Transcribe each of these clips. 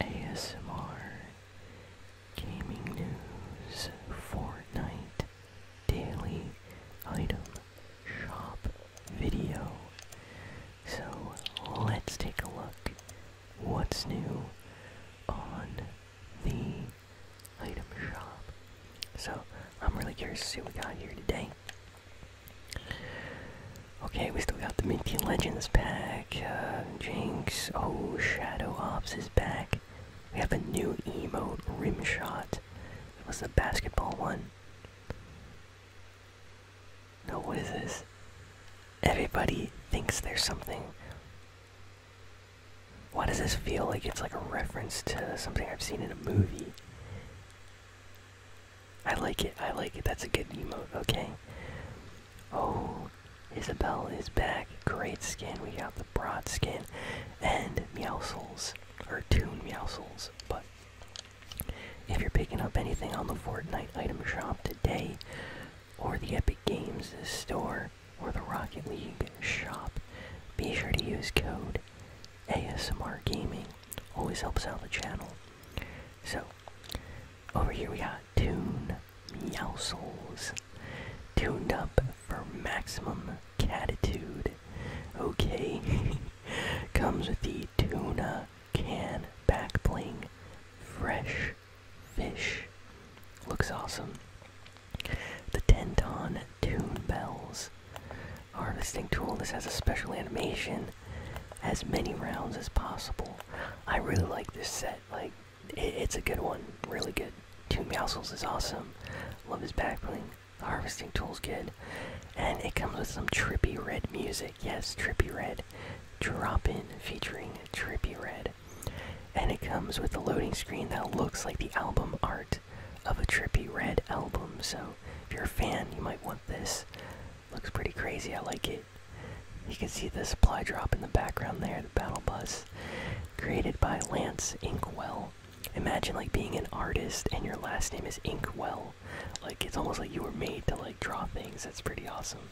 ASMR, gaming news, Fortnite, daily item shop video. So let's take a look what's new on the item shop. So I'm really curious to see what we got here today. Okay, we still got the Minty Legends pack. Uh, Jinx, oh, Shadow Ops is back. We have a new emote, Rimshot. It was the basketball one. what is this? Everybody thinks there's something. Why does this feel like it's like a reference to something I've seen in a movie? I like it. I like it. That's a good emote. Okay. Oh, Isabelle is back. Great skin. We got the broad skin and Meowsles are two Meowsles. But if you're picking up anything on the Fortnite item shop today, or the Epic Games store, or the Rocket League shop, be sure to use code ASMR Gaming. Always helps out the channel. So, over here we got Tune Meowsles. Tuned up for maximum catitude. Okay. Comes with the tuna can back bling. Fresh fish. Looks awesome. The denton Tune Bells. Harvesting tool. This has a special animation as many rounds as possible. I really like this set. Like, it's a good one. Really good. Two mousels is awesome. Love his back bling. The harvesting tool's good. And it comes with some trippy red music. Yes, trippy red. Drop in featuring trippy red. And it comes with a loading screen that looks like the album art of a trippy red album. So if you're a fan, you might want this. Looks pretty crazy, I like it. You can see the supply drop in the background there, the battle bus created by Lance Inkwell. Imagine like being an artist and your last name is Inkwell. Like it's almost like you were made to like draw things. That's pretty awesome.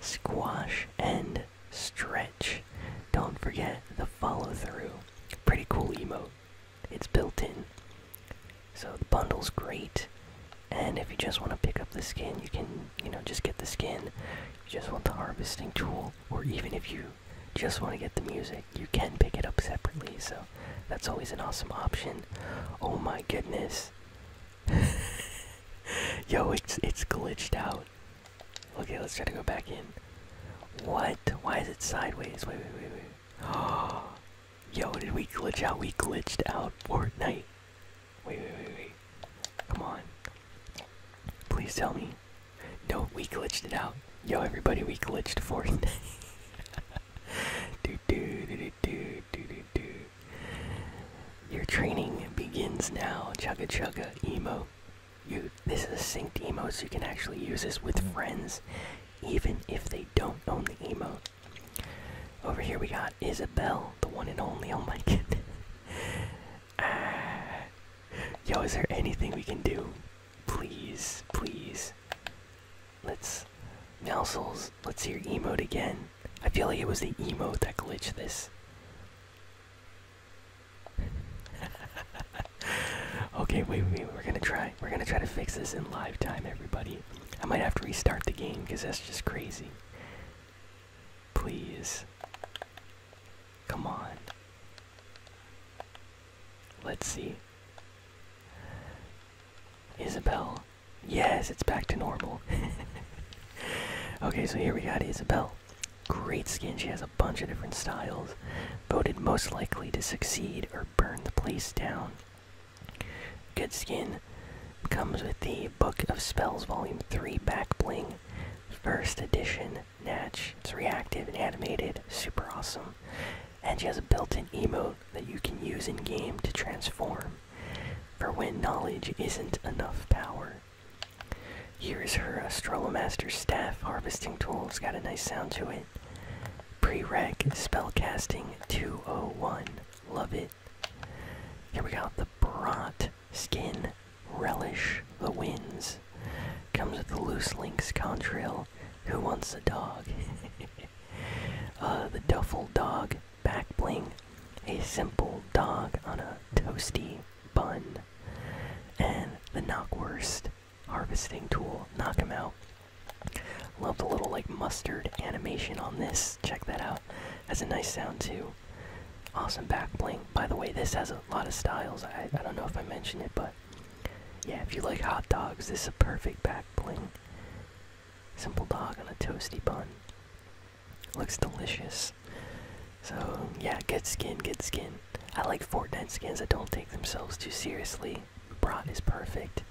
Squash and stretch. Don't forget the follow through. Pretty cool emote it's built in. So the bundle's great. And if you just want to pick up the skin, you can, you know, just get the skin. You just want the harvesting tool, or even if you just want to get the music, you can pick it up separately. So that's always an awesome option. Oh my goodness. Yo, it's it's glitched out. Okay, let's try to go back in. What? Why is it sideways? Wait, wait, wait, wait. Oh, Yo, did we glitch out? We glitched out Fortnite. Wait, wait, wait, wait. Come on. Please tell me. No, we glitched it out. Yo, everybody, we glitched Fortnite. do, do, do, do, do, do, do. Your training begins now. Chugga chugga emo. You, this is a synced emo, so you can actually use this with friends, even if they don't own the emo. Over here we got Isabelle, the one and only. Oh my god! Ah. Yo, is there anything we can do? Please, please. Let's. Nelsels, let's hear emote again. I feel like it was the emote that glitched this. okay, wait, wait, wait, we're gonna try. We're gonna try to fix this in live time, everybody. I might have to restart the game because that's just crazy. Please. Come on. Let's see. Isabel. Yes, it's back to normal. okay, so here we got Isabel. Great skin. She has a bunch of different styles. Voted most likely to succeed or burn the place down. Good skin comes with the Book of Spells Volume 3 Back Bling, first edition Natch. It's reactive and animated, super awesome. And she has a built in emote that you can use in game to transform for when knowledge isn't enough power. Here is her Astrolomaster staff harvesting tool. It's got a nice sound to it. Prereq Spellcasting 201. Love it. Here we go. the bront Skin Relish the Winds. Comes with the Loose Links Contrail. Who wants a dog? Uh, the Duffel Dog Back Bling. A simple dog on a toasty bun. And the Knockwurst Harvesting Tool. Knock him out. Love the little like mustard animation on this. Check that out. Has a nice sound too. Awesome back bling. By the way, this has a lot of styles. I, I don't know if I mentioned it, but yeah, if you like hot dogs, this is a perfect back bling. Simple dog on a toasty bun. Looks delicious. So yeah, good skin, good skin. I like Fortnite skins that don't take themselves too seriously. Broughton is perfect.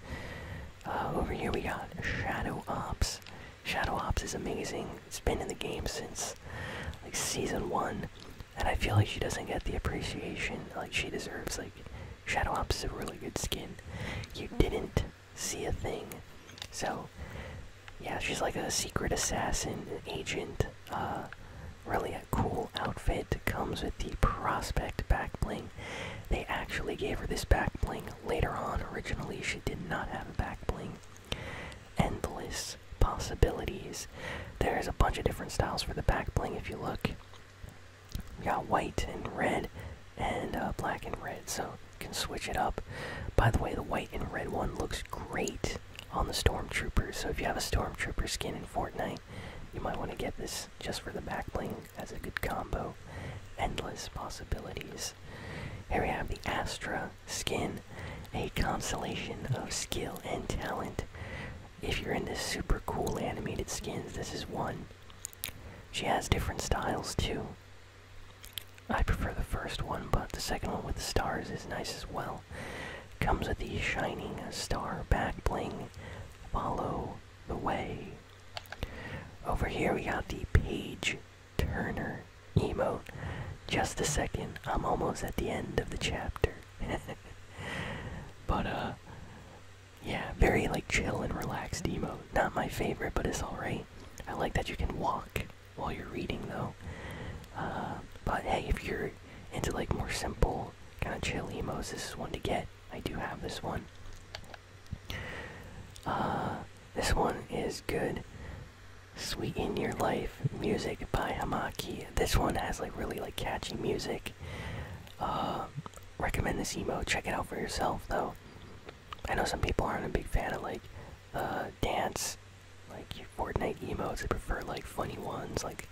Uh, over here we got Shadow Ops. Shadow Ops is amazing. It's been in the game since like season one, and I feel like she doesn't get the appreciation like she deserves. Like Shadow Ops is a really good skin. You didn't see a thing, so yeah, she's like a secret assassin agent. Uh, really a cool outfit. Comes with the prospect back bling. They actually gave her this back bling later on. Originally, she did not have a back bling. Endless possibilities. There's a bunch of different styles for the back bling if you look. We got white and red and uh, black and red, so you can switch it up. By the way, the white and red one looks great on the stormtrooper, so if you have a stormtrooper skin in Fortnite, you might want to get this just for the back bling as a good combo. Endless possibilities. Here we have the Astra skin, a constellation of skill and talent. If you're into super cool animated skins, this is one. She has different styles too. I prefer the first one, but the second one with the stars is nice as well. Comes with the shining star back bling. Follow the way. Over here we have the Page Turner emo. Just a second, I'm almost at the end of the chapter. but uh yeah, very like chill and relaxed emo. Not my favorite, but it's alright. I like that you can walk while you're reading though. Uh, but hey, if you're into like more simple, kind of chill emos, this is one to get. I do have this one. Uh, this one is good. Sweeten Your Life music by Hamaki. This one has like really like catchy music. Uh, recommend this emo. Check it out for yourself though. I know some people aren't a big fan of like the uh, dance, like Fortnite emotes. They prefer like funny ones, like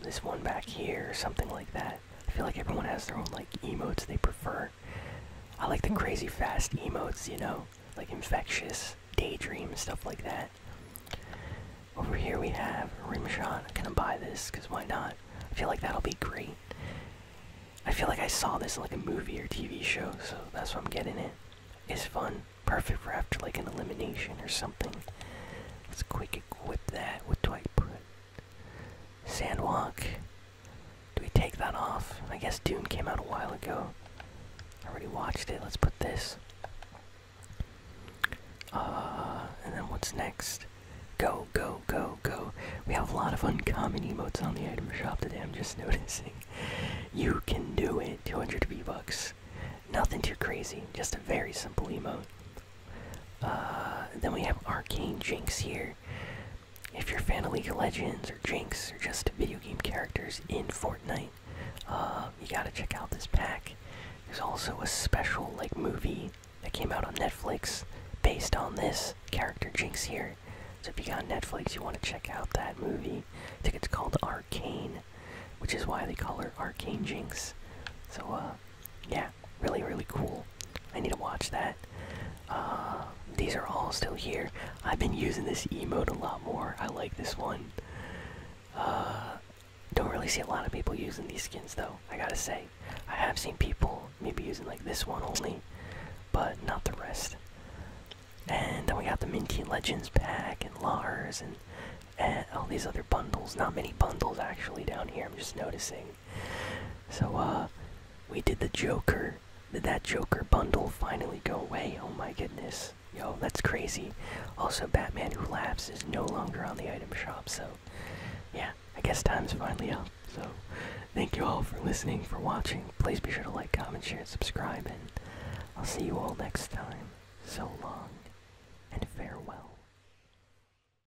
this one back here something like that. I feel like everyone has their own like emotes they prefer. I like the crazy fast emotes, you know, like infectious, daydream, stuff like that. Over here we have rimshot. I'm gonna buy this because why not? I feel like that'll be great. I feel like I saw this in like a movie or TV show, so that's why I'm getting it. It's fun, perfect for after like an elimination or something. Let's quick equip that. with do I Sandwalk. Do we take that off? I guess Dune came out a while ago. I already watched it. Let's put this. Uh, and then what's next? Go, go, go, go. We have a lot of uncommon emotes on the item shop today, I'm just noticing. You can do it. 200 V-Bucks. Nothing too crazy, just a very simple emote. Uh, then we have Arcane Jinx here. If you're a fan of League of Legends or Jinx or just video game characters in Fortnite, uh, you gotta check out this pack. There's also a special like movie that came out on Netflix based on this character Jinx here. So if you got Netflix, you want to check out that movie. I think it's called Arcane, which is why they call her Arcane Jinx. So uh, yeah, really, really cool. I need to watch that. Uh, these are all still here. I've been using this emote a lot more. I like this one. Uh, don't really see a lot of people using these skins though. I gotta say, I have seen people maybe using like this one only, but not the rest. And then we got the Minty Legends pack and Lars and all these other bundles. Not many bundles actually down here. I'm just noticing. So, uh, we did the Joker. Did that Joker bundle finally go away? Oh my goodness. Yo, that's crazy. Also, Batman Who Laughs is no longer on the item shop, so yeah, I guess time's finally up. So, thank you all for listening, for watching. Please be sure to like, comment, share, and subscribe, and I'll see you all next time. So long, and farewell.